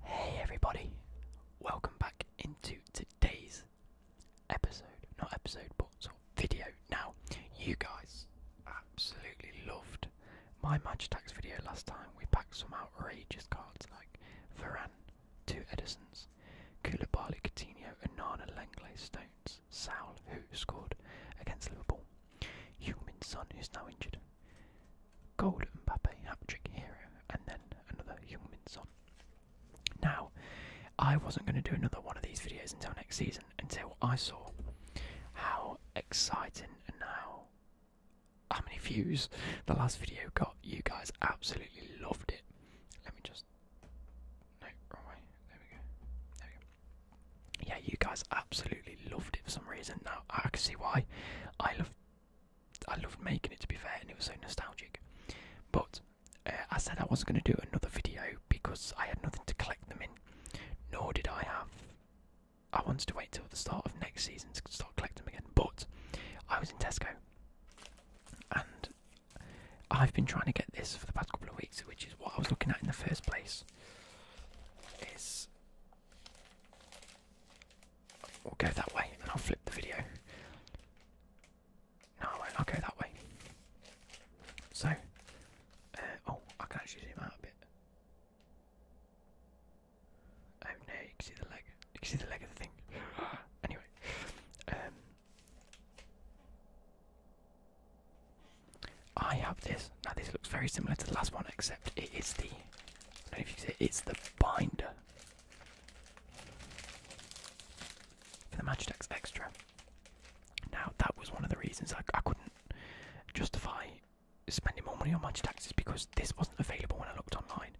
Hey everybody, welcome back into today's episode. Not episode, but video. Now, you guys absolutely loved my match Tax video last time. We packed some outrageous cards like Varane, two Edisons, Koulibaly, Coutinho, and Nana langley Stones, Saul, who scored against Liverpool, heung Son, who's now injured, Golden Mbappe, hat-trick hero, and then another heung song. Now, I wasn't going to do another one of these videos until next season, until I saw how exciting and how how many views the last video got. You guys absolutely loved it. Let me just no wrong way. There we go. There we go. Yeah, you guys absolutely absolutely loved it for some reason. Now I can see why. I loved, I loved making it to be fair, and it was so nostalgic. But uh, I said I wasn't going to do another video because I had nothing to collect them in. Nor did I have. I wanted to wait till the start of next season to start collecting again. But I was in Tesco, and I've been trying to get this for the past couple of weeks, which is what I was looking at in the first place. Is We'll go that way and I'll flip the video. No, I will go that way. So, uh, oh, I can actually zoom out a bit. Oh no, you can see the leg. You see the leg of the thing. anyway, um, I have this. Now this looks very similar to the last one, except it is the. if you can it's the binder for the Magitex Extra. Now that was one of the reasons I, I couldn't justify spending more money on Magitex is because this wasn't available when I looked online.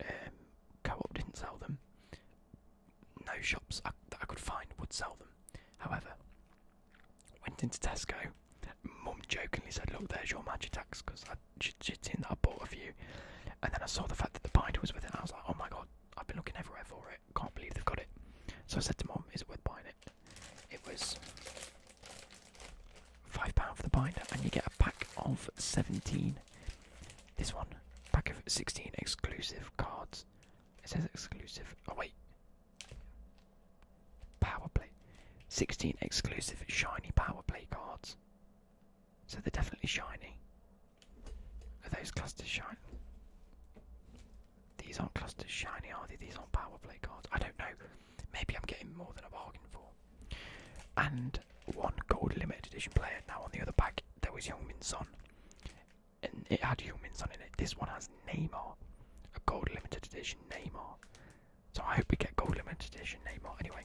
Um, Co-op didn't sell them. No shops that I could find would sell them. However, Went into Tesco. Mum jokingly said, "Look, there's your magic tax," because she'd, she that I bought a few. And then I saw the fact that the binder was within, And I was like, "Oh my god, I've been looking everywhere for it. Can't believe they've got it." So I said to Mum, "Is it worth buying it?" It was five pound for the binder, and you get a pack of seventeen. This one, pack of sixteen exclusive cards. It says exclusive. Oh wait, Power play. 16 exclusive shiny power play cards. So they're definitely shiny. Are those clusters shiny? These aren't clusters shiny, are they? These aren't power play cards. I don't know. Maybe I'm getting more than I bargained for. And one gold limited edition player. Now on the other pack there was Young Min Son. And it had Young Min in it. This one has Neymar a gold limited edition Neymar. So I hope we get gold limited edition Neymar. Anyway,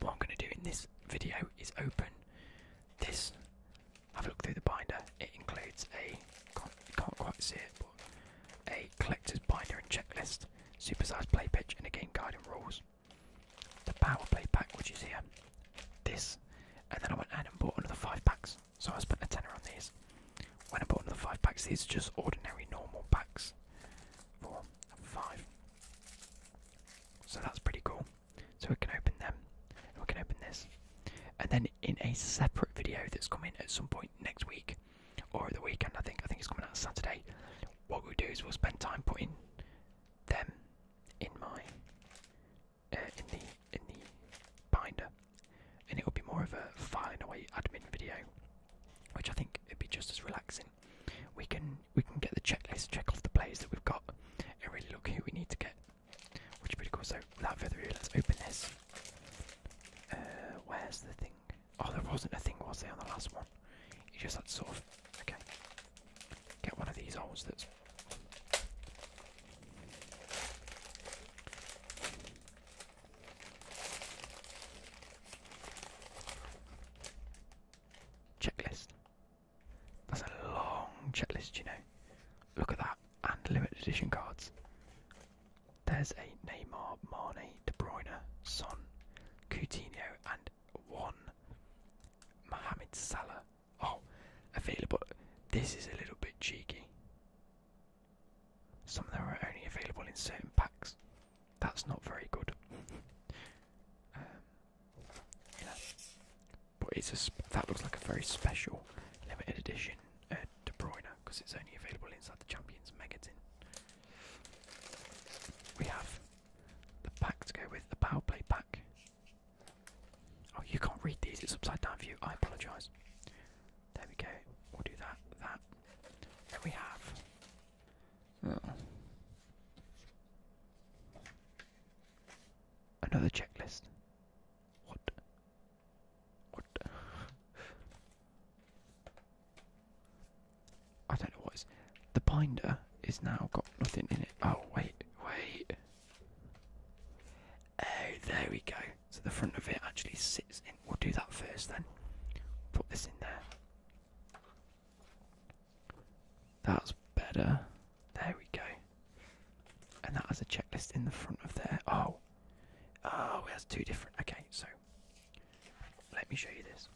what I'm going to do in this video is open this. Have a look through the binder. It includes a you can't quite see it, but a collector's binder and checklist, supersized play pitch, and a game guide and rules. The power play pack, which is here, this, and then I went and bought another five packs. So I spent a tenner on these. When I bought another five packs, these are just ordinary normal packs. Four, five. So that's pretty cool. So we can open them. And we can open this. And then in a separate video that's coming at some point next week, or the weekend I think, I think it's coming out Saturday, what we'll do is we'll spend time putting them in my uh, in the in the binder, and it will be more of a filing away admin video, which I think would be just as relaxing. We can we can get the checklist, check off the plays that we've got, and really look who we need to get, which is pretty cool. So without further ado, let's open this. Uh, where's the thing? Oh, there wasn't a thing, was there, on the last one? You just had sort of okay. Get one of these holes that's Checklist. That's a long checklist, you know. Look at that. And limited edition cards. There's a Neymar, Mane, De Bruyne, Son, Coutinho, and one Mohamed Salah Oh, available. This is a little bit cheeky. Some of them are only available in certain packs. That's not very good. Um, but it's a that looks like a very special limited edition uh, De Bruyne because it's only available inside the Champions magazine. We have the pack to go with the Power Play pack. Oh, you can't read these, it's upside down for you. I apologise. There we go. We'll do that, that. Then we have oh. another checklist. What? What? I don't know what is. The binder is now got nothing in it. Oh, wait, wait. Oh, there we go. So the front of it actually sits in. We'll do that first then. Put this in there. That's better. There we go. And that has a checklist in the front of there. Oh. Oh, it has two different. Okay, so let me show you this.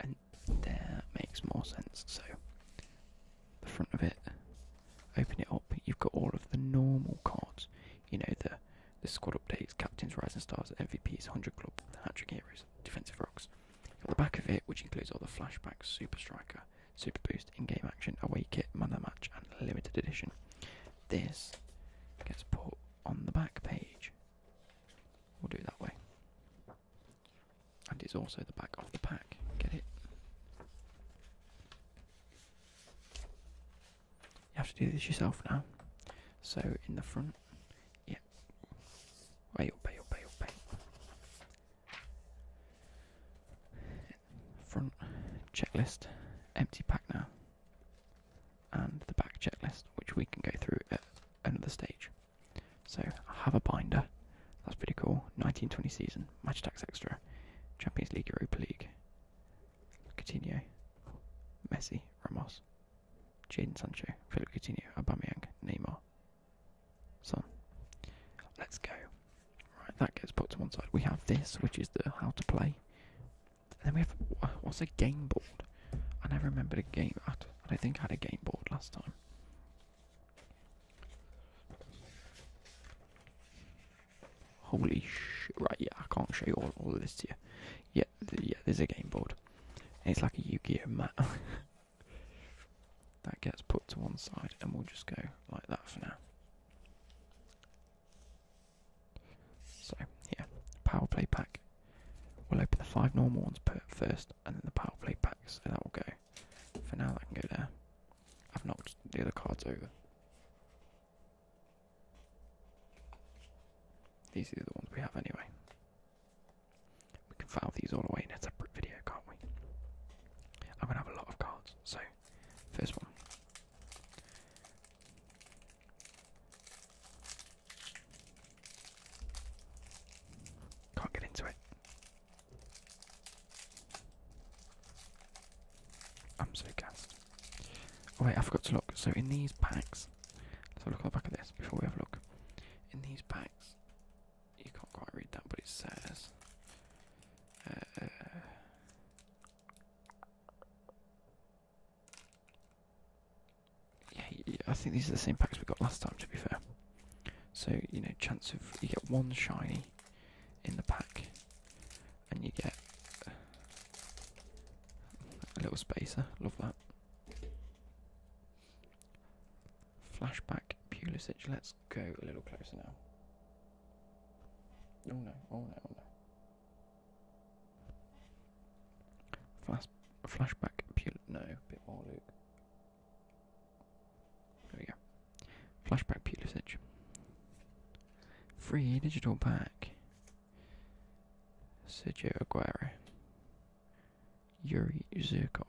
And there makes more sense. So the front of it. Open it up. You've got all of the normal cards. You know the the squad updates, captains, rising stars, MVPs, hundred club, hat-trick heroes, defensive rocks. the back of it, which includes all the flashbacks, super striker, super boost, in-game action, away kit, man of the match, and limited edition. This gets put on the back page. We'll do it that way and it's also the back of the pack. Get it? You have to do this yourself now. So in the front, yeah. Way up, way up, way up, way up. Front checklist, empty pack now, and the back checklist, which we can go through at another stage. So I have a binder that's pretty cool. 1920 season. Match tax extra. Champions League, Europa League. Coutinho. Messi. Ramos. Jadon Sancho. Philip Coutinho. Aubameyang. Neymar. Son. Let's go. Right, that gets put to one side. We have this, which is the how to play. then we have what's a game board? I never remembered a game. I don't think I had a game board last time. Holy shit, right, yeah, I can't show you all, all of this to you. Yeah, yeah, there's a game board. It's like a Yu-Gi-Oh mat. that gets put to one side and we'll just go like that for now. So, yeah, power play pack. We'll open the five normal ones per first and then the power play pack, so that will go for now, I can go there. I've knocked the other cards over. These are the ones we have anyway. We can file these all away in a separate video, can't we? I'm gonna have a lot of cards. So, first one. Can't get into it. I'm so gassed. Oh wait, I forgot to look. So in these packs, let's have a look on the back of this before we have a look. In these packs, you can't quite read that, but it says. Uh, yeah, I think these are the same packs we got last time. To be fair. So, you know, chance of you get one shiny in the pack, and you get a little spacer. Love that. Flashback Pulisic. Let's go a little closer now. Oh no! Oh no! Oh no! Flash, flashback Pulisic. No, bit more Luke. There we go. Flashback Pulisic. Free digital pack. Sergio Aguero. Yuri Zirkov.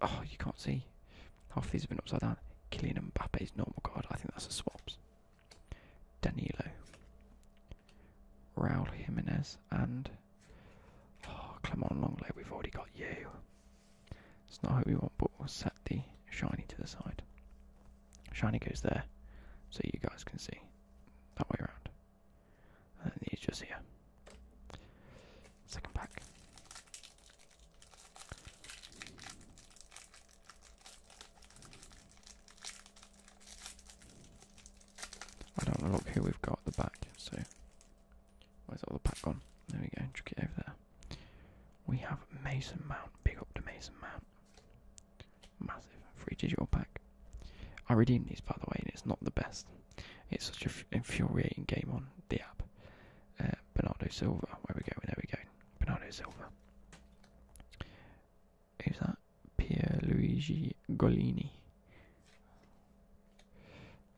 Oh, you can't see. Half these have been upside down. Kylian Mbappe's normal card. I think that's a swaps. Danilo. Raul Jimenez and oh, Clement Longley. We've already got you. It's not who we want, but we'll set the shiny to the side. Shiny goes there, so you guys can see that way around. And then he's just here. Second pack. I don't want look here. we've got the back, so where's all the pack gone? There we go, chuck it over there. We have Mason Mount, Pick up the Mason Mount. Massive free digital pack. I redeemed these by the way, and it's not the best. It's such an infuriating game on the app. Uh, Bernardo Silva, where we going? There we go. Bernardo Silva who's that? Pierluigi Golini.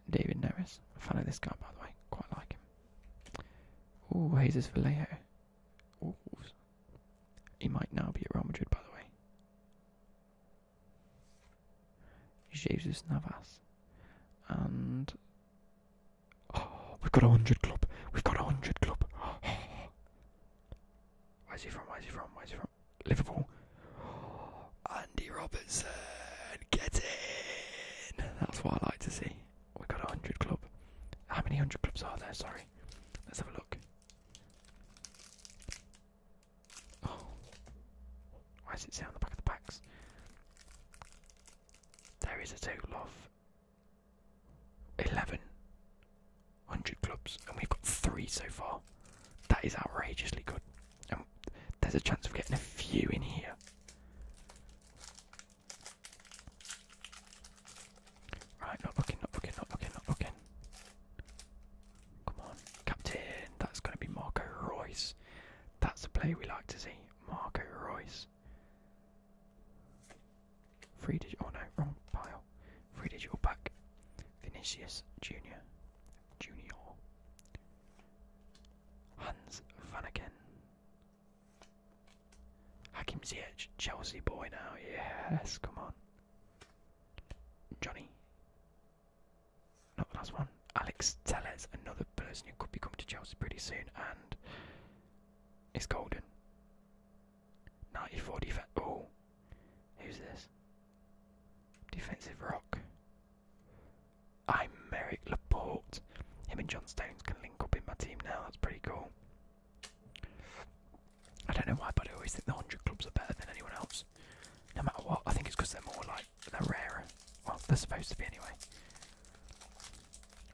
David Neres. A fan of this guy, by the way. Quite like him. Oh, Jesus Vallejo. Ooh. He might now be at Real Madrid, by the way. Jesus Navas. And. Oh, we've got a 100 club. We've got a 100 club. Oh. Where's he from? Where's he from? Where's he from? Liverpool. Andy Robertson, get in! That's what I like to see. We got a hundred club. How many hundred clubs are there? Sorry, let's have a look. Oh, why does it say on the back of the packs? There is a total of eleven. 100 clubs, and we've got three so far. That is outrageously good. And um, there's a chance of getting a few in here. Right, not looking, not looking, not looking, not looking. Come on, captain. That's going to be Marco Royce. That's a play we like to see. Marco Royce. Free digital. Oh no, wrong pile. Free digital pack. Vinicius Junior. Junior. Hans Vanaken. Hakim Ziyech, Chelsea boy now. Yes, come on. Johnny. Not the last one. Alex Tellez, another person who could be coming to Chelsea pretty soon, and it's golden. 94 defense. Oh, Who's this? Defensive rock. I'm Merrick Laporte. Him and John Stones can link up in my team now. That's pretty cool. I don't know why, but I always think the 100 clubs are better than anyone else. No matter what, I think it's because they're more like, they're rarer. Well, they're supposed to be anyway.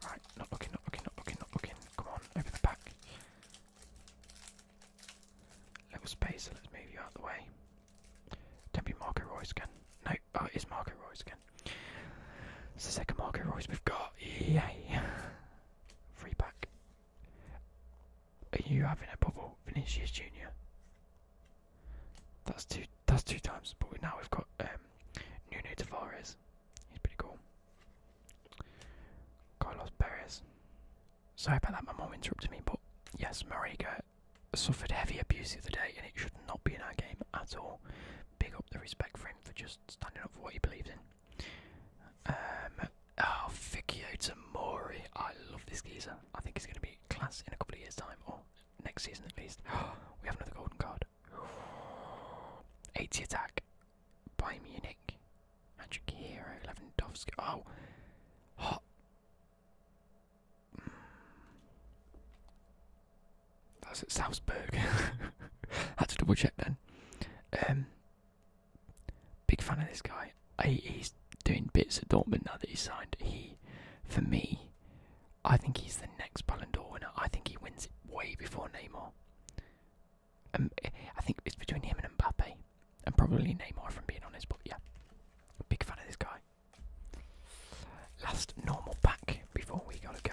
Right, not looking, not looking, not looking, not looking. Come on, open the pack. Little spacer, let's move you out of the way. Don't be Marco Royce again. No, uh, it is Marco Royce again. It's the second Marco Royce we've got. Yay! Free pack. Are you having a bubble? Vinicius Junior. That's two. That's two times. But now we've got um, Nuno Tavares. He's pretty cool. Carlos Perez. Sorry about that, my mom interrupted me, but yes, Mariga suffered heavy abuse the other day and it should not be in our game at all. Big up the respect for him for just standing up for what he believed in. Um, oh, Fikio Tamori. I love this geezer. I think he's going to be class in a couple of years' time, or next season at least. we have another golden card. 80 attack by Munich. Magic Hero, Lewandowski. Oh! Hot! Hmm. That's at Salzburg. Had to double check then. Um, big fan of this guy. he's doing bits at Dortmund now that he's signed. He, for me, I think he's the next Ballon d'Or winner. I think he wins it way before Neymar. Um, I think it's between him and Mbappe, and probably Neymar, from being honest. But yeah, big fan of this guy. Last normal pack before we gotta go.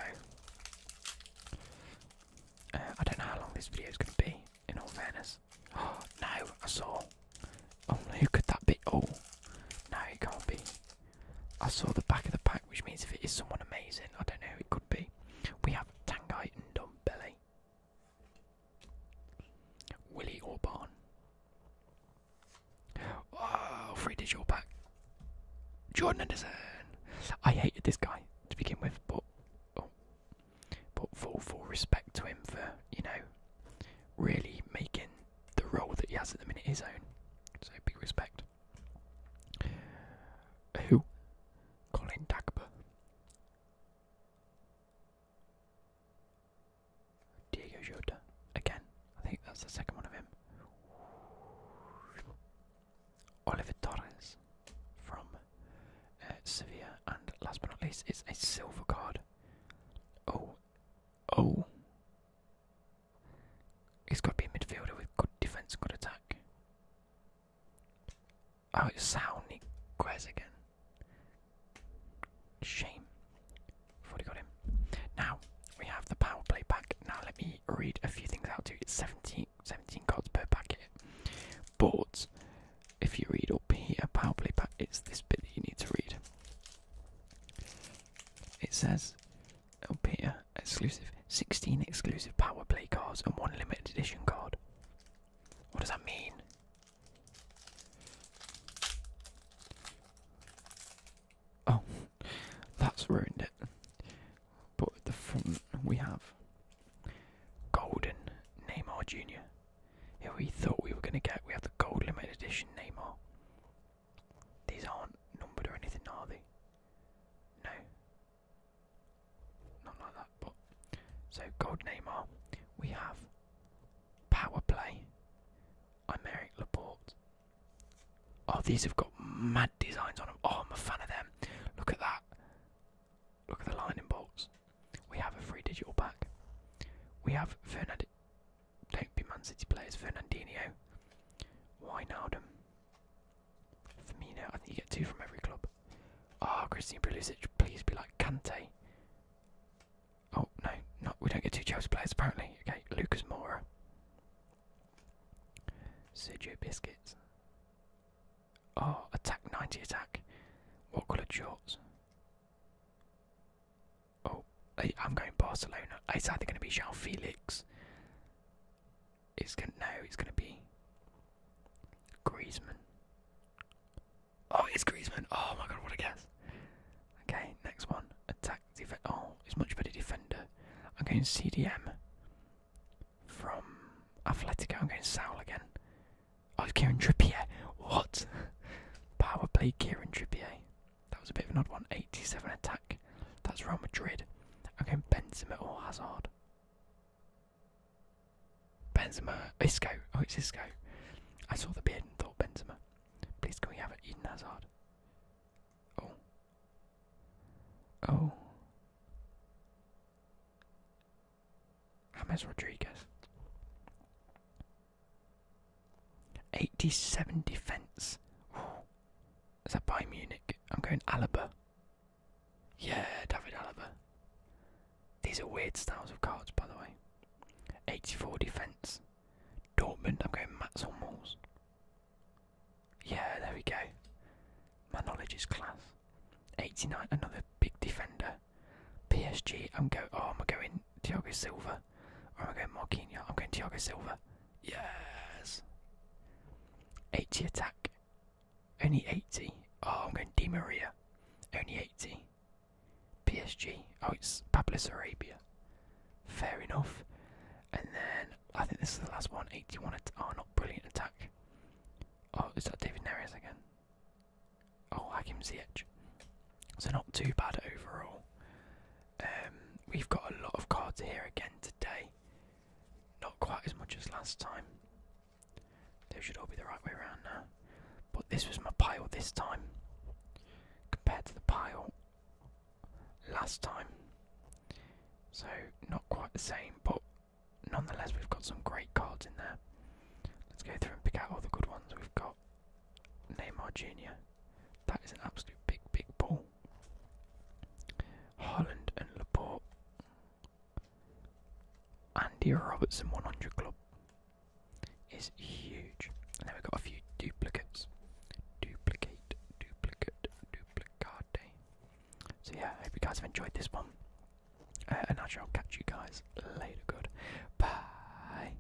Uh, I don't know how long this video is gonna be. In all fairness, oh no, I saw. Oh who could that be? Oh no, it can't be. I saw the back of the pack, which means if it is someone amazing, I don't know who it could We have Tangai and Dombele. Willie Orban. Oh, free digital back. Jordan Anderson. I hated this guy to begin with, but oh, but full full respect to him for you know really making the role that he has at the minute his own. So big respect. Who Colin Dagba, Diego Jota. Again, I think that's the second one of him. Oliver Torres from uh, Sevilla, and last but not least, it's a silver card. Oh, oh, He's got to be a midfielder with good defence, good attack. Oh, it's Sauni Quez again. Shame. Thought got him. Now, we have the power play pack. Now, let me read a few things out to you. It's 17 cards per packet. But, if you read up here, power play pack, it's this bit that you need to read. It says up here exclusive 16 exclusive power play cards and one limited edition card. What does that mean? Oh, that's ruined it. But at the front we have Golden Neymar Jr. Here we thought we were going to get. We have the Gold Limited Edition Neymar. These aren't numbered or anything, are they? No. Not like that, but. So, Gold Neymar. We have Power Play, Imeric Laporte. Oh, these have got mad designs on them. Oh, I'm a fan of them. Look at that. Look at the lightning bolts. We have a free digital pack. We have Fernand. Don't be Man City players. Fernandinho. Wijnaldum. For I think you get two from every club. Ah, oh, Christian Pulisic, please be like Kante. Oh no, not we don't get two Chelsea players apparently. Okay, Lucas Moura, Sergio Biscuits. Oh, ah, attack ninety attack. What color shorts? Oh, I'm going Barcelona. It's either going to be Jean Felix it's gonna no, it's gonna be Griezmann. Oh, it's Griezmann. Oh my god, what a guess. Okay, next one. Attack defense. Oh, it's much better defender. I'm going CDM from Atletico. I'm going Saul again. Oh, it's Kieran Trippier. What? Power play Kieran Trippier. That was a bit of an odd one. 87 attack. That's Real Madrid. Okay, Benzema or Hazard. Benzema, Isco. Oh, it's Isco. I saw the beard and thought Benzema. Please, can we have it? Eden Hazard. Oh. Oh. James Rodriguez. 87 defence. Is that by Munich? I'm going Alaba. Yeah, David Alaba. These are weird styles of cards, by the way. 84 defence. Dortmund, I'm going Mats or Malls. Yeah, there we go. My knowledge is class. 89, another big defender. PSG, I'm go. Oh, I'm going Thiago Silva. Silva. Or am I going Marquinhos? I'm going Thiago Silva. Yes! 80 attack. Only 80. Oh, I'm going Di Maria. Only 80. PSG. Oh, it's Pablo Arabia. Fair enough. And then I think this is the last one. 81. At oh, not brilliant attack. Oh, is that David Neres again? Oh, Hakim Ziyech. So not too bad overall. Um, we've got a lot of cards here again today. Not quite as much as last time. They should all be the right way around now. But this was my pile this time. Compared to the pile last time. So, not quite the same, but nonetheless, we've got some great cards in there. Let's go through and pick out all the good ones we've got. Neymar Jr. That is an absolute big, big ball. Holland and Laporte. Andy Robertson 100 Club is huge. And then we've got a few duplicates. Duplicate, duplicate, duplicate. So yeah, I hope you guys have enjoyed this one. Uh, and I shall catch you guys later. Good. Bye.